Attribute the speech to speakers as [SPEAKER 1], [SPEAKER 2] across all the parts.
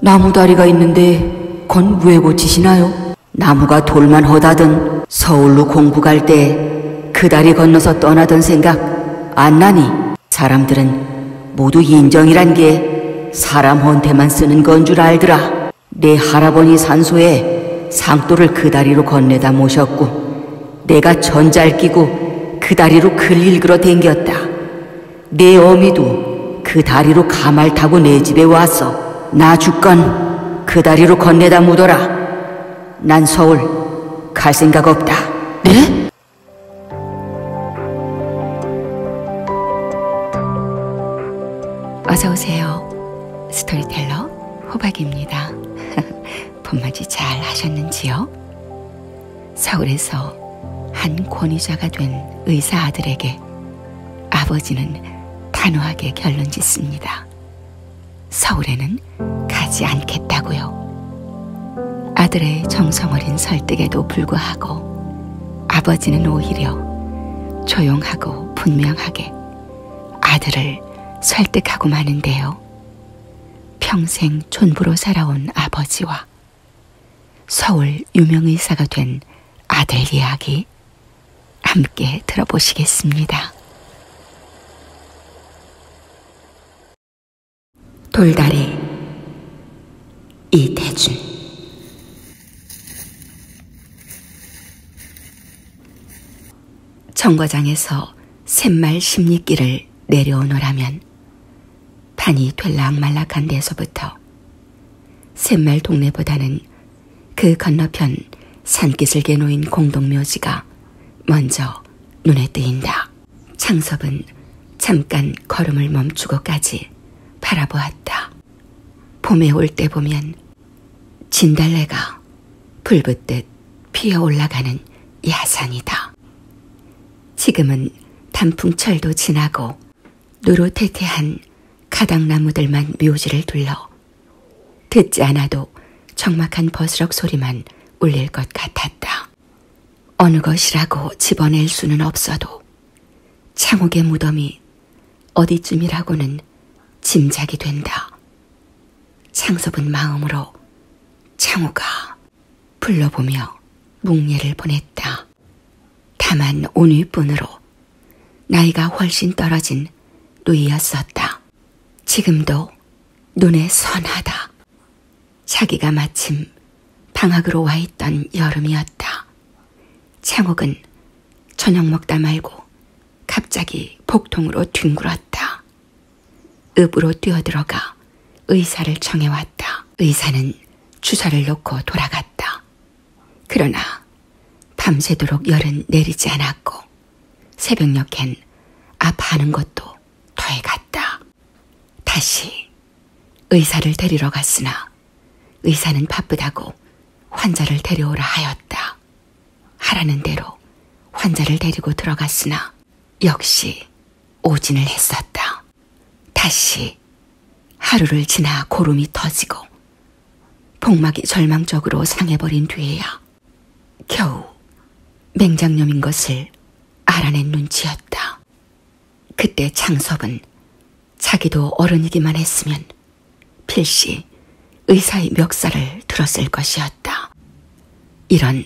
[SPEAKER 1] 나무다리가 있는데 건왜 고치시나요? 나무가 돌만 허다든 서울로 공부 갈 때 그 다리 건너서 떠나던 생각 안 나니 사람들은 모두 인정이란 게 사람 헌테만 쓰는 건 줄 알더라. 내 할아버니 산소에 상도를 그 다리로 건네다 모셨고 내가 전잘 끼고 그 다리로 글 일그러 댕겼다. 내 어미도 그 다리로 가말 타고 내 집에 와서 나 죽건 그 다리로 건네다 묻어라. 난 서울 갈 생각 없다. 네? 어서 오세요. 스토리텔러 호박입니다. 봄맞이 잘 하셨는지요? 서울에서 한 권위자가 된 의사 아들에게 아버지는 단호하게 결론 짓습니다. 서울에는 가지 않겠다고요. 아들의 정성어린 설득에도 불구하고 아버지는 오히려 조용하고 분명하게 아들을 설득하고 마는데요. 평생 촌부로 살아온 아버지와 서울 유명의사가 된 아들 이야기 함께 들어보시겠습니다. 돌다리 이태준 정거장에서 샘말 십리길을 내려오노라면 판이 될락말락한 데서부터 샘말 동네보다는 그 건너편 산기슭에 놓인 공동묘지가 먼저 눈에 띄인다. 창섭은 잠깐 걸음을 멈추고까지 바라보았다. 봄에 올 때 보면 진달래가 불붙듯 피어 올라가는 야산이다. 지금은 단풍철도 지나고 노로태태한 가닥나무들만 묘지를 둘러 듣지 않아도 적막한 버스럭 소리만 울릴 것 같았다. 어느 것이라고 집어낼 수는 없어도 창옥의 무덤이 어디쯤이라고는 짐작이 된다. 창섭은 마음으로 창호가 불러보며 묵례를 보냈다. 다만 온위뿐으로 나이가 훨씬 떨어진 누이였었다. 지금도 눈에 선하다. 자기가 마침 방학으로 와 있던 여름이었다. 창옥은 저녁 먹다 말고 갑자기 복통으로 뒹굴었다. 읍으로 뛰어들어가 의사를 청해왔다. 의사는 주사를 놓고 돌아갔다. 그러나 밤새도록 열은 내리지 않았고 새벽녘엔 아파하는 것도 더해갔다. 다시 의사를 데리러 갔으나 의사는 바쁘다고 환자를 데려오라 하였다. 하라는 대로 환자를 데리고 들어갔으나 역시 오진을 했었다. 다시 하루를 지나 고름이 터지고 복막이 절망적으로 상해버린 뒤에야 겨우 맹장염인 것을 알아낸 눈치였다. 그때 창섭은 자기도 어른이기만 했으면 필시 의사의 멱살을 들었을 것이었다. 이런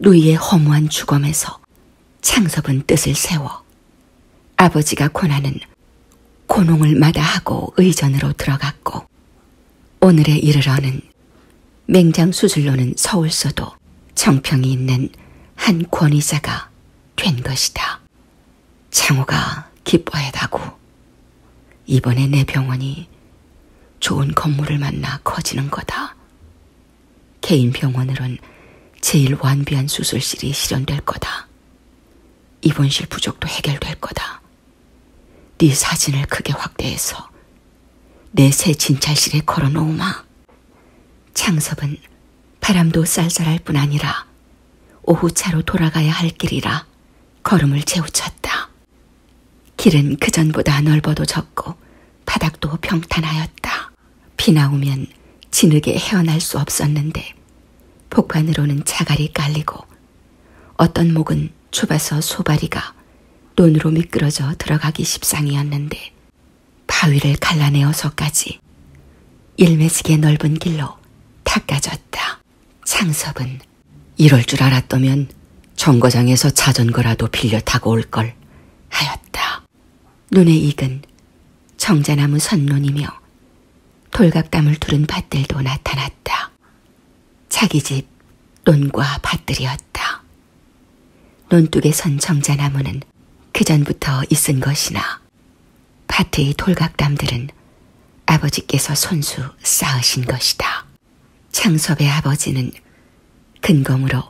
[SPEAKER 1] 누이의 허무한 죽음에서 창섭은 뜻을 세워 아버지가 고나는 고농을 마다하고 의전으로 들어갔고 오늘에 이르러는 맹장 수술로는 서울서도 정평이 있는 한 권위자가 된 것이다. 창호가 기뻐해다고 이번에 내 병원이 좋은 건물을 만나 커지는 거다. 개인 병원으론 제일 완비한 수술실이 실현될 거다. 입원실 부족도 해결될 거다. 네 사진을 크게 확대해서 내 새 진찰실에 걸어놓으마. 창섭은 바람도 쌀쌀할 뿐 아니라 오후차로 돌아가야 할 길이라 걸음을 재우쳤다. 길은 그전보다 넓어도 적고 바닥도 평탄하였다. 비나 오면 진흙에 헤어날 수 없었는데 폭판으로는 자갈이 깔리고 어떤 목은 좁아서 소바리가 논으로 미끄러져 들어가기 십상이었는데 바위를 갈라내어서까지 일매지게 넓은 길로 닦아졌다. 상섭은 이럴 줄 알았다면 정거장에서 자전거라도 빌려 타고 올 걸 하였다. 눈에 익은 정자나무 선론이며 돌갑담을 두른 밭들도 나타났다. 자기 집 논과 밭들이었다. 논뚝에 선 정자나무는 그전부터 있은 것이나 밭의 돌각담들은 아버지께서 손수 쌓으신 것이다. 창섭의 아버지는 근검으로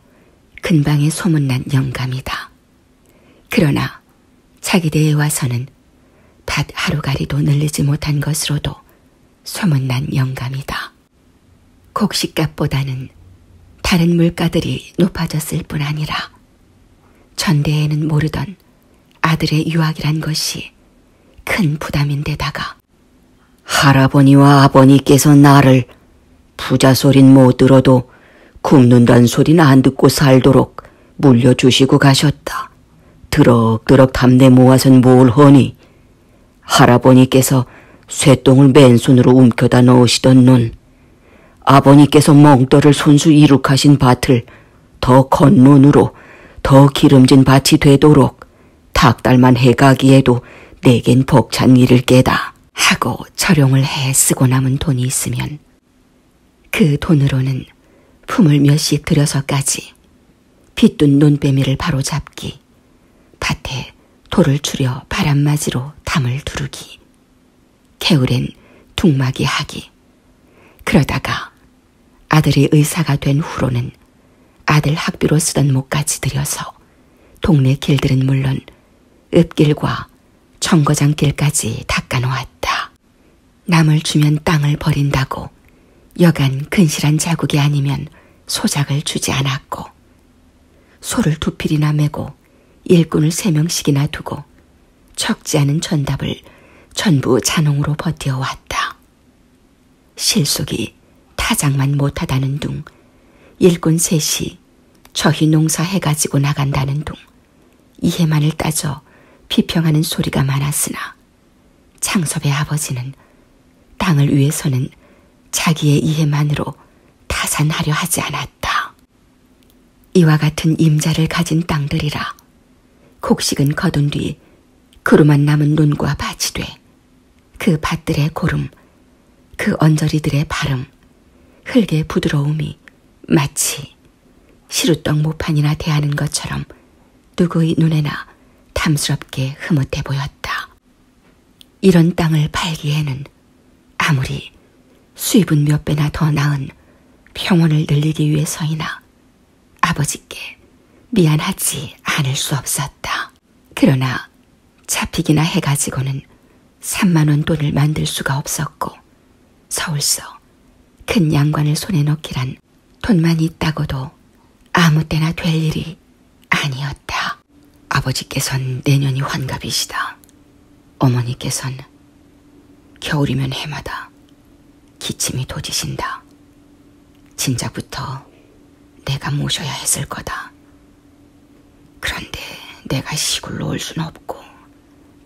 [SPEAKER 1] 근방에 소문난 영감이다. 그러나 차기대에 와서는 밭 하루가리도 늘리지 못한 것으로도 소문난 영감이다. 곡식값보다는 다른 물가들이 높아졌을 뿐 아니라 전대에는 모르던 아들의 유학이란 것이 큰 부담인데다가 할아버니와 아버니께서 나를 부자 소린 못 들어도 굶는단 소린 안 듣고 살도록 물려주시고 가셨다. 드럭드럭 담내 모아선 뭘 허니 할아버니께서 쇠똥을 맨손으로 움켜다 넣으시던 눈 아버니께서 멍떠를 손수 이룩하신 밭을 더 건눈으로 더 기름진 밭이 되도록 닭달만 해가기에도 내겐 벅찬 일을 깨다 하고 철용을 해 쓰고 남은 돈이 있으면 그 돈으로는 품을 몇씩 들여서까지 빗둔 논빼미를 바로잡기 밭에 돌을 추려 바람맞이로 담을 두르기, 개울엔 둥막이 하기, 그러다가 아들이 의사가 된 후로는 아들 학비로 쓰던 목까지 들여서 동네 길들은 물론 읍길과 청거장길까지 닦아놓았다. 남을 주면 땅을 버린다고 여간 근실한 자국이 아니면 소작을 주지 않았고 소를 두 필이나 메고 일꾼을 세 명씩이나 두고 적지 않은 전답을 전부 자농으로 버텨왔다. 실속이 타작만 못하다는 둥, 일꾼 셋이 저희 농사해가지고 나간다는 둥, 이해만을 따져 비평하는 소리가 많았으나 창섭의 아버지는 땅을 위해서는 자기의 이해만으로 타산하려 하지 않았다. 이와 같은 임자를 가진 땅들이라 곡식은 거둔 뒤 그루만 남은 논과 밭이 돼그 밭들의 고름, 그 언저리들의 발음, 흙의 부드러움이 마치 시루떡 모판이나 대하는 것처럼 누구의 눈에나 탐스럽게 흐뭇해 보였다. 이런 땅을 팔기에는 아무리 수입은 몇 배나 더 나은 평원을 늘리기 위해서이나 아버지께 미안하지 않을 수 없었다. 그러나 잡히기나 해가지고는 3만원 돈을 만들 수가 없었고 서울서 큰 양관을 손에 넣기란 돈만 있다고도 아무 때나 될 일이 아니었다. 아버지께선 내년이 환갑이시다. 어머니께선 겨울이면 해마다 기침이 도지신다. 진작부터 내가 모셔야 했을 거다. 그런데 내가 시골로 올 순 없고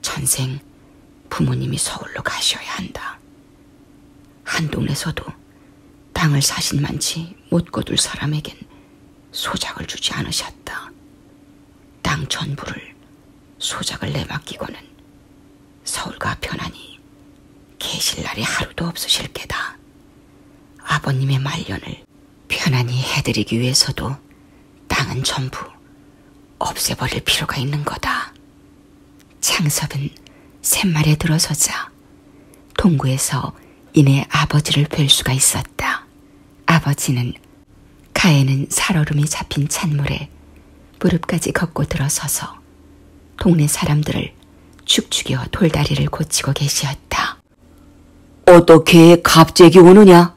[SPEAKER 1] 전생 부모님이 서울로 가셔야 한다. 한동네서도 땅을 사신 만치 못 거둘 사람에겐 소작을 주지 않으셨다. 땅 전부를 소작을 내맡기고는 서울가 편하니 계실 날이 하루도 없으실 게다. 아버님의 말년을 편안히 해드리기 위해서도 땅은 전부 없애버릴 필요가 있는 거다. 창섭은 샘말에 들어서자 동구에서 이내 아버지를 뵐 수가 있었다. 아버지는 가에는 살얼음이 잡힌 찬물에 무릎까지 걷고 들어서서 동네 사람들을 축축여 돌다리를 고치고 계시었다. 어떻게 갑자기 오느냐?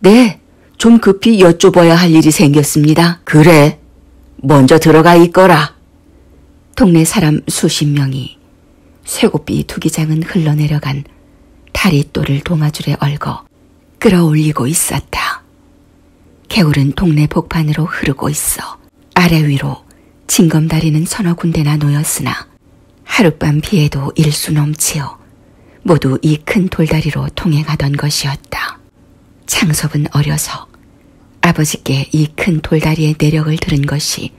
[SPEAKER 1] 네, 좀 급히 여쭤봐야 할 일이 생겼습니다. 그래, 먼저 들어가 있거라. 동네 사람 수십 명이 쇠고삐 투기장은 흘러내려간 다리또를 동아줄에 얽어 끌어올리고 있었다. 개울은 동네 복판으로 흐르고 있어 아래 위로 징검다리는 서너 군데나 놓였으나 하룻밤 비에도 일수 넘치어 모두 이 큰 돌다리로 통행하던 것이었다. 창섭은 어려서 아버지께 이 큰 돌다리의 내력을 들은 것이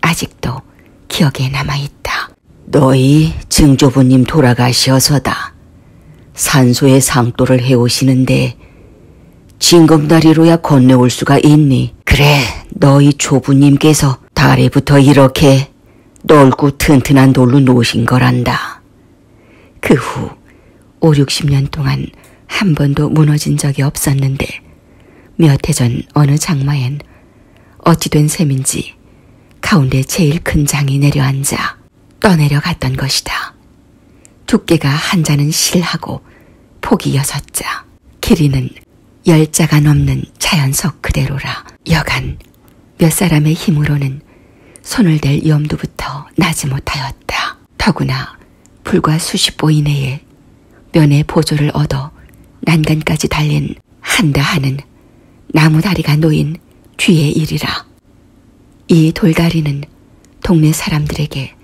[SPEAKER 1] 아직도 기억에 남아있다. 너희 증조부님 돌아가시어서다. 산소의 상도를 해오시는데 진검다리로야 건너올 수가 있니? 그래, 너희 조부님께서 다리부터 이렇게 넓고 튼튼한 돌로 놓으신 거란다. 그 후 5, 60년 동안 한 번도 무너진 적이 없었는데 몇 해 전 어느 장마엔 어찌된 셈인지 가운데 제일 큰 장이 내려앉아 떠내려갔던 것이다. 두께가 한 자는 실하고 폭이 여섯 자, 길이는 열 자가 넘는 자연석 그대로라. 여간 몇 사람의 힘으로는 손을 댈 염두부터 나지 못하였다. 더구나 불과 수십 보 이내에 면의 보조를 얻어 난간까지 달린 한다 하는 나무다리가 놓인 뒤의 일이라. 이 돌다리는 동네 사람들에게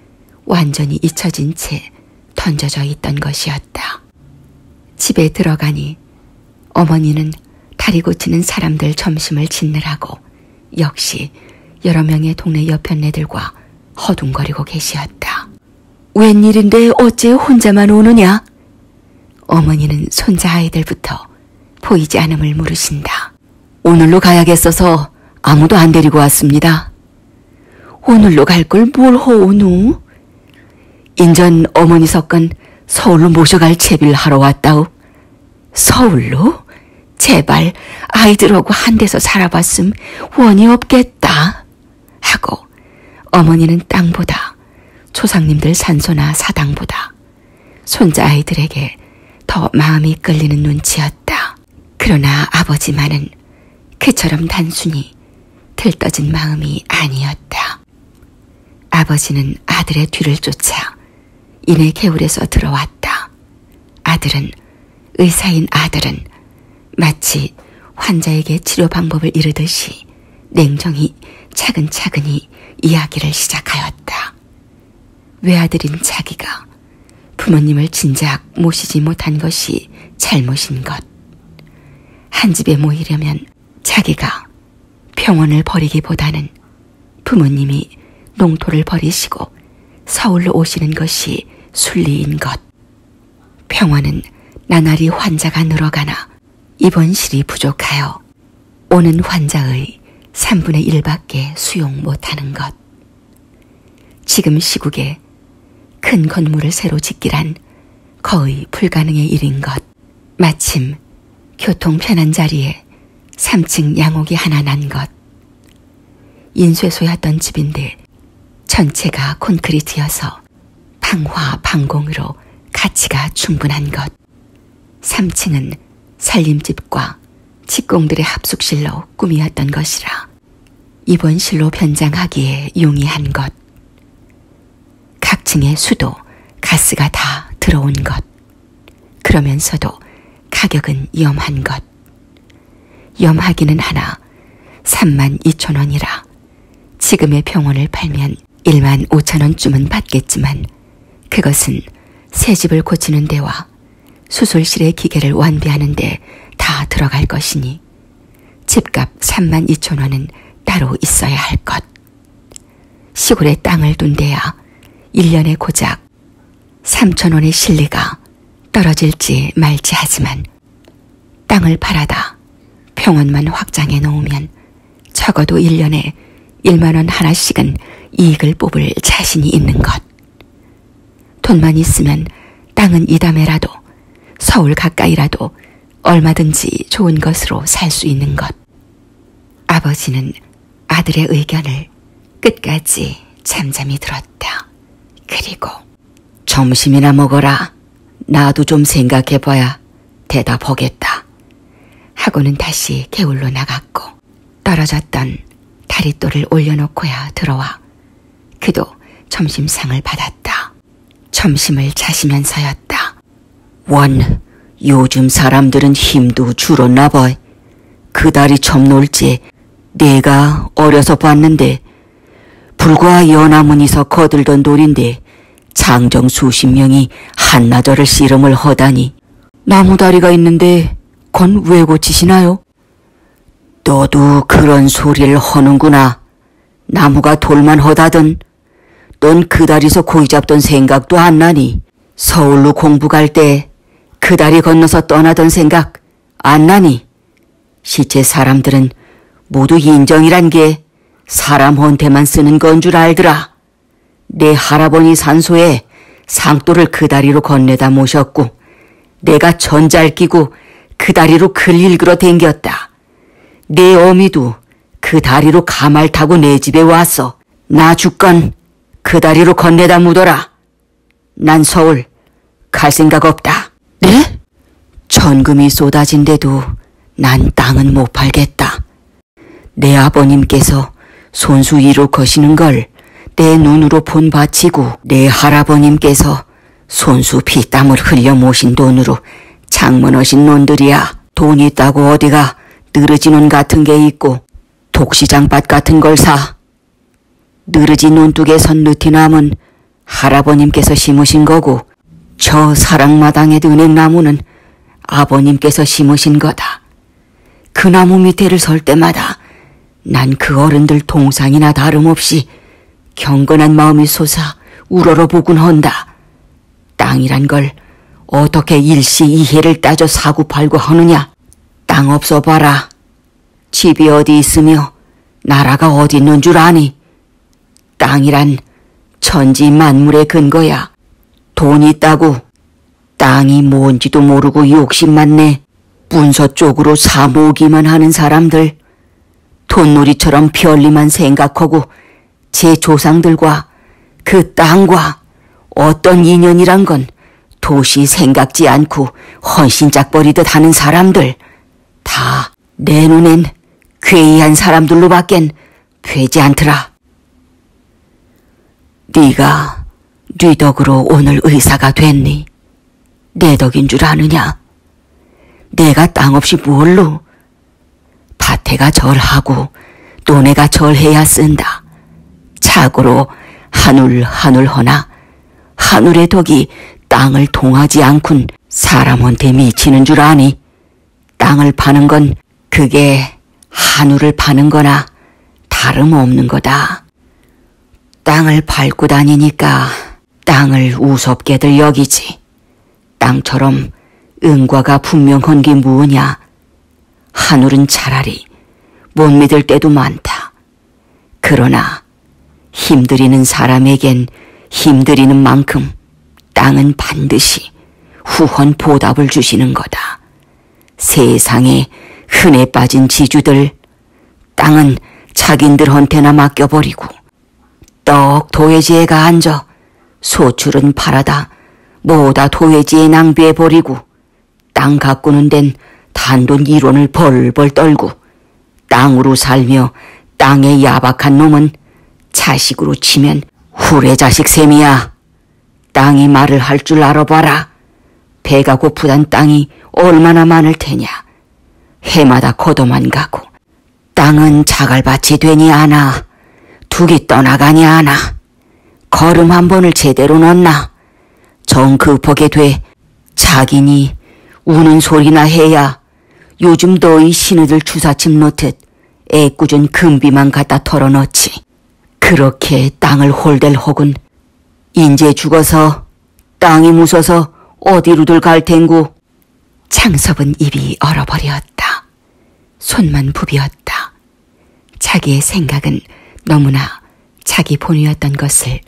[SPEAKER 1] 완전히 잊혀진 채 던져져 있던 것이었다. 집에 들어가니 어머니는 다리 고치는 사람들 점심을 짓느라고 역시 여러 명의 동네 여편네들과 허둥거리고 계시었다. 웬일인데 어째 혼자만 오느냐? 어머니는 손자 아이들부터 보이지 않음을 물으신다. 오늘로 가야겠어서 아무도 안 데리고 왔습니다. 오늘로 갈 걸 뭘 허오누? 인전 어머니 석건 서울로 모셔갈 채비를 하러 왔다오. 서울로? 제발 아이들하고 한 데서 살아봤음 원이 없겠다 하고 어머니는 땅보다 초상님들 산소나 사당보다 손자 아이들에게 더 마음이 끌리는 눈치였다. 그러나 아버지만은 그처럼 단순히 들떠진 마음이 아니었다. 아버지는 아들의 뒤를 쫓아 이내 개울에서 들어왔다. 아들은 의사인 아들은 마치 환자에게 치료 방법을 이르듯이 냉정히 차근차근히 이야기를 시작하였다. 외아들인 자기가 부모님을 진작 모시지 못한 것이 잘못인 것. 한 집에 모이려면 자기가 병원을 버리기보다는 부모님이 농토를 버리시고 서울로 오시는 것이 순리인 것. 병원은 나날이 환자가 늘어가나 입원실이 부족하여 오는 환자의 3분의 1밖에 수용 못하는 것. 지금 시국에 큰 건물을 새로 짓기란 거의 불가능의 일인 것. 마침 교통 편한 자리에 3층 양옥이 하나 난 것. 인쇄소였던 집인데 전체가 콘크리트여서 방화 방공으로 가치가 충분한 것. 3층은 살림집과 직공들의 합숙실로 꾸미었던 것이라 입원실로 변장하기에 용이한 것, 각 층에 수도, 가스가 다 들어온 것, 그러면서도 가격은 염한 것, 염하기는 하나 3만 2천 원이라 지금의 병원을 팔면 1만 5천 원쯤은 받겠지만 그것은 새 집을 고치는 데와 수술실의 기계를 완비하는데 다 들어갈 것이니 집값 3만 2천 원은 따로 있어야 할 것. 시골에 땅을 둔 데야 1년에 고작 3천 원의 실리가 떨어질지 말지 하지만 땅을 팔아다 평원만 확장해 놓으면 적어도 1년에 1만 원 하나씩은 이익을 뽑을 자신이 있는 것. 돈만 있으면 땅은 이담에라도 서울 가까이라도 얼마든지 좋은 것으로 살 수 있는 것. 아버지는 아들의 의견을 끝까지 잠잠히 들었다. 그리고 점심이나 먹어라. 나도 좀 생각해봐야 대답하겠다. 하고는 다시 개울로 나갔고 떨어졌던 다리또를 올려놓고야 들어와 그도 점심상을 받았다. 점심을 자시면서였다. 원, 요즘 사람들은 힘도 줄었나 봐. 그 다리 점놀지 내가 어려서 봤는데 불과 연화문에서 거들던 돌인데 장정 수십 명이 한나절을 씨름을 허다니 나무다리가 있는데 건 왜 고치시나요? 너도 그런 소리를 허는구나. 나무가 돌만 허다든 넌 그다리서 고이 잡던 생각도 안 나니. 서울로 공부 갈 때 그다리 건너서 떠나던 생각 안 나니. 시체 사람들은 모두 인정이란 게 사람 혼태만 쓰는 건 줄 알더라. 내 할아버니 산소에 상도를 그다리로 건네다 모셨고 내가 전자를 끼고 그 다리로 글 일그러 댕겼다. 내 어미도 그 다리로 가말 타고 내 집에 와서 나 죽건 그 다리로 건네다 묻어라. 난 서울 갈 생각 없다. 네? 전금이 쏟아진데도 난 땅은 못 팔겠다. 내 아버님께서 손수 이로 거시는 걸 내 눈으로 본 바치고 내 할아버님께서 손수 피땀을 흘려 모신 돈으로 장문하신 놈들이야. 돈 있다고 어디가 느르지눈 같은 게 있고 독시장밭 같은 걸 사. 느르지 논둑에선 느티나무는 할아버님께서 심으신 거고 저 사랑마당의 은행나무는 아버님께서 심으신 거다. 그 나무 밑에를 설 때마다 난그 어른들 동상이나 다름없이 경건한 마음이 솟아 우러러보곤 헌다. 땅이란 걸 어떻게 일시 이해를 따져 사고 팔고 하느냐. 땅 없어 봐라. 집이 어디 있으며 나라가 어디 있는 줄 아니. 땅이란 천지 만물의 근거야. 돈 있다고 땅이 뭔지도 모르고 욕심만 내 문서 쪽으로 사모기만 하는 사람들, 돈놀이처럼 별리만 생각하고 제 조상들과 그 땅과 어떤 인연이란 건 도시 생각지 않고 헌신짝버리듯 하는 사람들, 다 내 눈엔 괴이한 사람들로밖엔 되지 않더라. 네가 뉘덕으로 네 오늘 의사가 됐니? 내 덕인 줄 아느냐? 내가 땅 없이 뭘로? 밭에가 절하고 논에가 절해야 쓴다. 자고로 한울 한울 허나 한울의 덕이 땅을 통하지 않군 사람한테 미치는 줄 아니. 땅을 파는 건 그게 한우를 파는 거나 다름없는 거다. 땅을 밟고 다니니까 땅을 우습게들 여기지. 땅처럼 은과가 분명한 게 무엇냐. 하늘은 차라리 못 믿을 때도 많다. 그러나 힘들이는 사람에겐 힘들이는 만큼 땅은 반드시 후헌 보답을 주시는 거다. 세상에 흔해 빠진 지주들 땅은 자긴들헌테나 맡겨버리고 떡 도회지에가 앉아 소출은 팔아다 뭐다 도회지에 낭비해버리고 땅 가꾸는 덴 단돈 1원을 벌벌 떨고 땅으로 살며 땅의 야박한 놈은 자식으로 치면 후레자식 셈이야. 땅이 말을 할 줄 알아봐라. 배가 고프단 땅이 얼마나 많을 테냐. 해마다 거도만 가고 땅은 자갈밭이 되니 않아 두기 떠나가니 않아 걸음 한 번을 제대로 넣나 정급하게 그 돼 자기니 우는 소리나 해야 요즘 너희 신우들 주사침 놓듯 애꿎은 금비만 갖다 털어넣지 그렇게 땅을 홀댈 혹은 인제 죽어서 땅이 무서서 어디로들 갈 텐구. 창섭은 입이 얼어버렸다. 손만 부비었다. 자기의 생각은 너무나 자기 본위였던 것을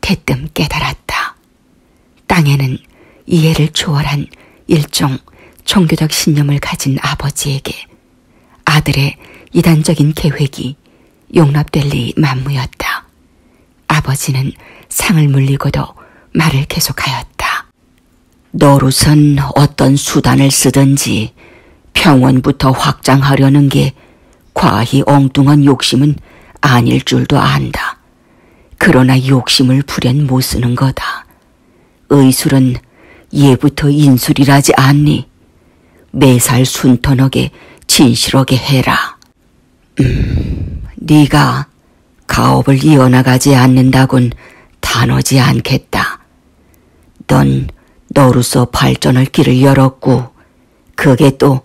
[SPEAKER 1] 대뜸 깨달았다. 땅에는 이해를 초월한 일종 종교적 신념을 가진 아버지에게 아들의 이단적인 계획이 용납될 리 만무였다. 아버지는 상을 물리고도 말을 계속하였다. 너로선 어떤 수단을 쓰든지 병원부터 확장하려는 게 과히 엉뚱한 욕심은 아닐 줄도 안다. 그러나 욕심을 불연 못 쓰는 거다. 의술은 예부터 인술이라지 않니? 매살 순턴하게 진실하게 해라. 네가 가업을 이어나가지 않는다곤 단호지 않겠다. 넌 너로서 발전할 길을 열었고 그게 또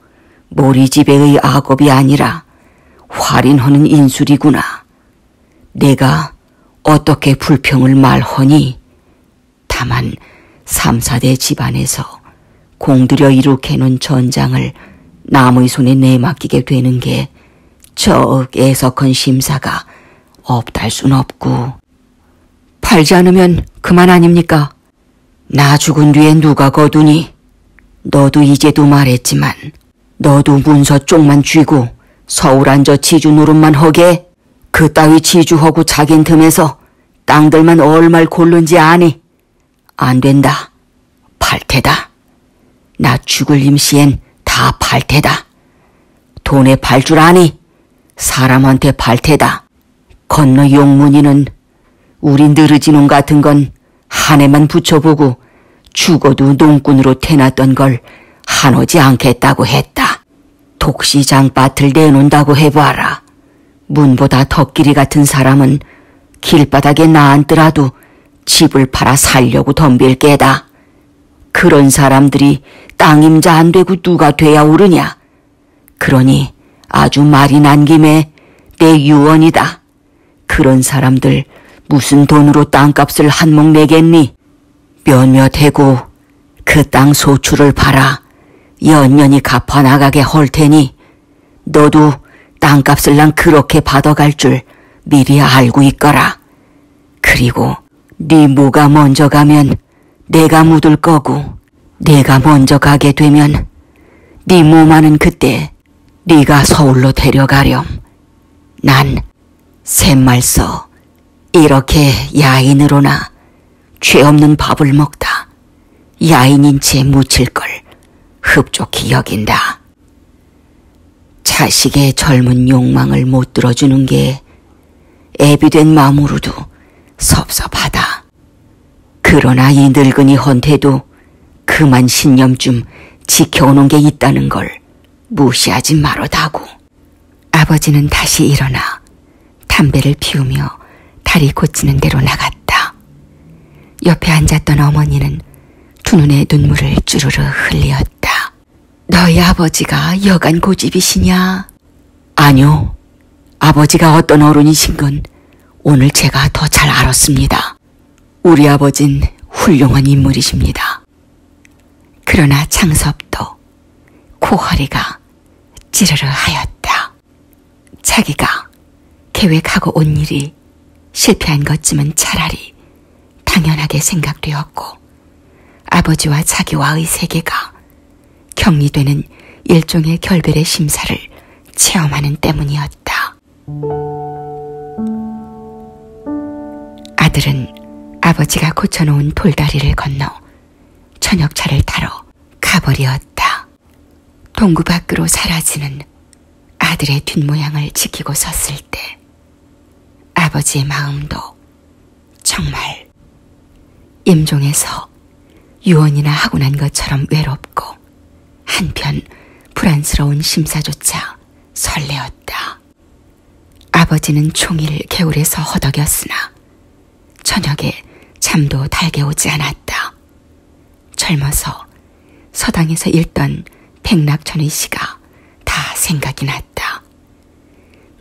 [SPEAKER 1] 모리지배의 악업이 아니라 활인하는 인술이구나. 내가 어떻게 불평을 말허니 다만 삼사대 집안에서 공들여 이룩해놓은 전장을 남의 손에 내맡기게 되는 게저 애석한 심사가 없달 순 없고 팔지 않으면 그만 아닙니까? 나 죽은 뒤에 누가 거두니? 너도 이제도 말했지만 너도 문서 쪽만 쥐고 서울 앉아 지주 노릇만 허게 그 따위 지주하고 자긴 틈에서 땅들만 얼마를 고른지 아니? 안 된다. 발태다. 나 죽을 임시엔 다 발태다. 돈에 발줄 아니? 사람한테 발태다. 건너 용문이는 우리 느르지놈 같은 건 한 해만 붙여보고 죽어도 농꾼으로 태났던 걸 한오지 않겠다고 했다. 독시장밭을 내놓는다고 해봐라. 문보다 덧끼리 같은 사람은 길바닥에 나앉더라도 집을 팔아 살려고 덤빌 게다. 그런 사람들이 땅임자 안 되고 누가 돼야 오르냐. 그러니 아주 말이 난 김에 내 유언이다. 그런 사람들 무슨 돈으로 땅값을 한 몫 내겠니? 몇몇 해고 그 땅 소출을 팔아 연년이 갚아나가게 헐 테니 너도 땅값을 난 그렇게 받아갈 줄 미리 알고 있거라. 그리고 네 모가 먼저 가면 내가 묻을 거고 내가 먼저 가게 되면 네 모마는 그때 네가 서울로 데려가렴. 난 샘말서 이렇게 야인으로나 죄 없는 밥을 먹다 야인인 채 묻힐 걸 흡족히 여긴다. 자식의 젊은 욕망을 못 들어주는 게 애비된 마음으로도 섭섭하다. 그러나 이 늙은이 헌태도 그만 신념쯤 지켜오는 게 있다는 걸 무시하지 말어다고. 아버지는 다시 일어나 담배를 피우며 다리 고치는 대로 나갔다. 옆에 앉았던 어머니는 두 눈에 눈물을 주르르 흘리었다. 너희 아버지가 여간 고집이시냐? 아니요. 아버지가 어떤 어른이신 건 오늘 제가 더 잘 알았습니다. 우리 아버진 훌륭한 인물이십니다. 그러나 창섭도 코허리가 찌르르 하였다. 자기가 계획하고 온 일이 실패한 것쯤은 차라리 당연하게 생각되었고, 아버지와 자기와의 세계가 격리되는 일종의 결별의 심사를 체험하는 때문이었다. 아들은 아버지가 고쳐놓은 돌다리를 건너 저녁차를 타러 가버리었다. 동구 밖으로 사라지는 아들의 뒷모양을 지키고 섰을 때 아버지의 마음도 정말 임종에서 유언이나 하고 난 것처럼 외롭고 한편 불안스러운 심사조차 설레었다. 아버지는 종일 개울에서 허덕였으나 저녁에 잠도 달게 오지 않았다. 젊어서 서당에서 읽던 백낙천의 시가 다 생각이 났다.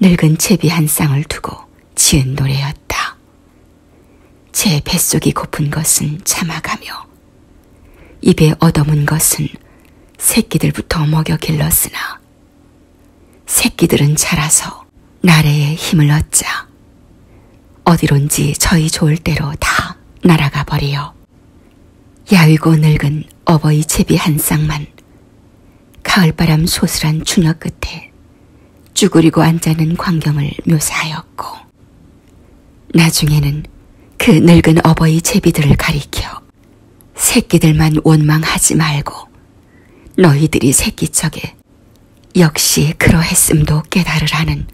[SPEAKER 1] 늙은 채비 한 쌍을 두고 지은 노래였다. 제 뱃속이 고픈 것은 참아가며 입에 얻어문 것은 새끼들부터 먹여 길렀으나 새끼들은 자라서 나래의 힘을 얻자 어디론지 저희 좋을 대로 다 날아가 버리어 야위고 늙은 어버이 제비 한 쌍만 가을바람 소슬한 추녀 끝에 쭈그리고 앉아는 광경을 묘사하였고 나중에는 그 늙은 어버이 제비들을 가리켜 새끼들만 원망하지 말고 너희들이 새끼 척에 역시 그러했음도 깨달으라는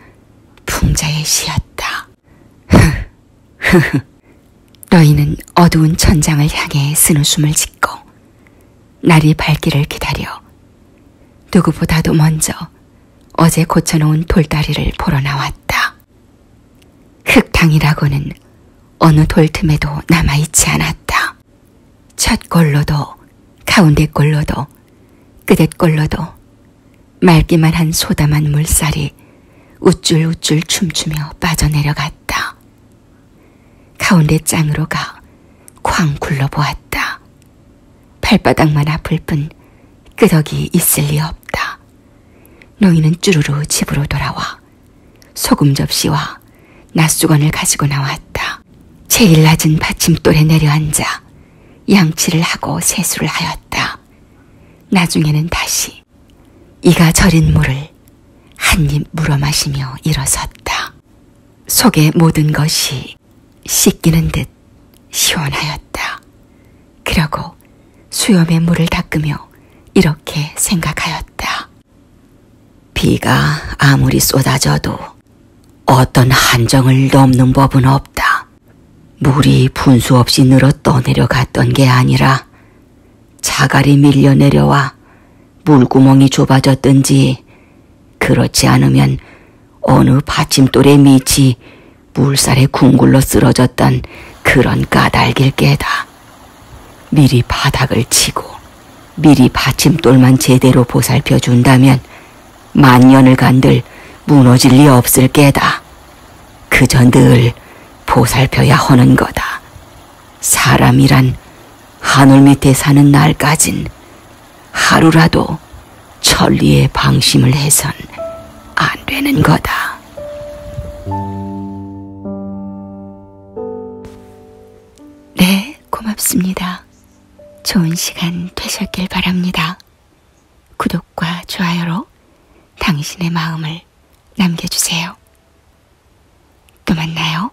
[SPEAKER 1] 풍자의 시였다. 흐흐흐. 너희는 어두운 천장을 향해 쓴웃음을 짓고 날이 밝기를 기다려 누구보다도 먼저 어제 고쳐놓은 돌다리를 보러 나왔다. 흙탕이라고는 어느 돌틈에도 남아있지 않았다. 첫 골로도 가운데 골로도 끝의 골로도 맑기만 한 소담한 물살이 우쭐우쭐 춤추며 빠져내려갔다. 가운데 짱으로 가 쾅 굴러보았다. 발바닥만 아플 뿐 끄덕이 있을 리 없다. 노인은 쭈루루 집으로 돌아와 소금 접시와 낮수건을 가지고 나왔다. 제일 낮은 받침돌에 내려앉아 양치를 하고 세수를 하였다. 나중에는 다시 이가 절인 물을 한 입 물어 마시며 일어섰다. 속의 모든 것이 씻기는 듯 시원하였다. 그러고 수염에 물을 닦으며 이렇게 생각하였다. 비가 아무리 쏟아져도 어떤 한정을 넘는 법은 없다. 물이 분수 없이 늘어 떠내려갔던 게 아니라 자갈이 밀려 내려와 물구멍이 좁아졌든지 그렇지 않으면 어느 받침돌의 밑이 물살에 궁굴러 쓰러졌던 그런 까닭일 게다. 미리 바닥을 치고 미리 받침돌만 제대로 보살펴 준다면 만년을 간들 무너질 리 없을 게다. 그저 늘 보살펴야 하는 거다. 사람이란 하늘 밑에 사는 날까진 하루라도 천리에 방심을 해선 안 되는 거다. 네, 고맙습니다. 좋은 시간 되셨길 바랍니다. 구독 구독과 좋아요로 당신의 마음을 남겨주세요. 또 만나요.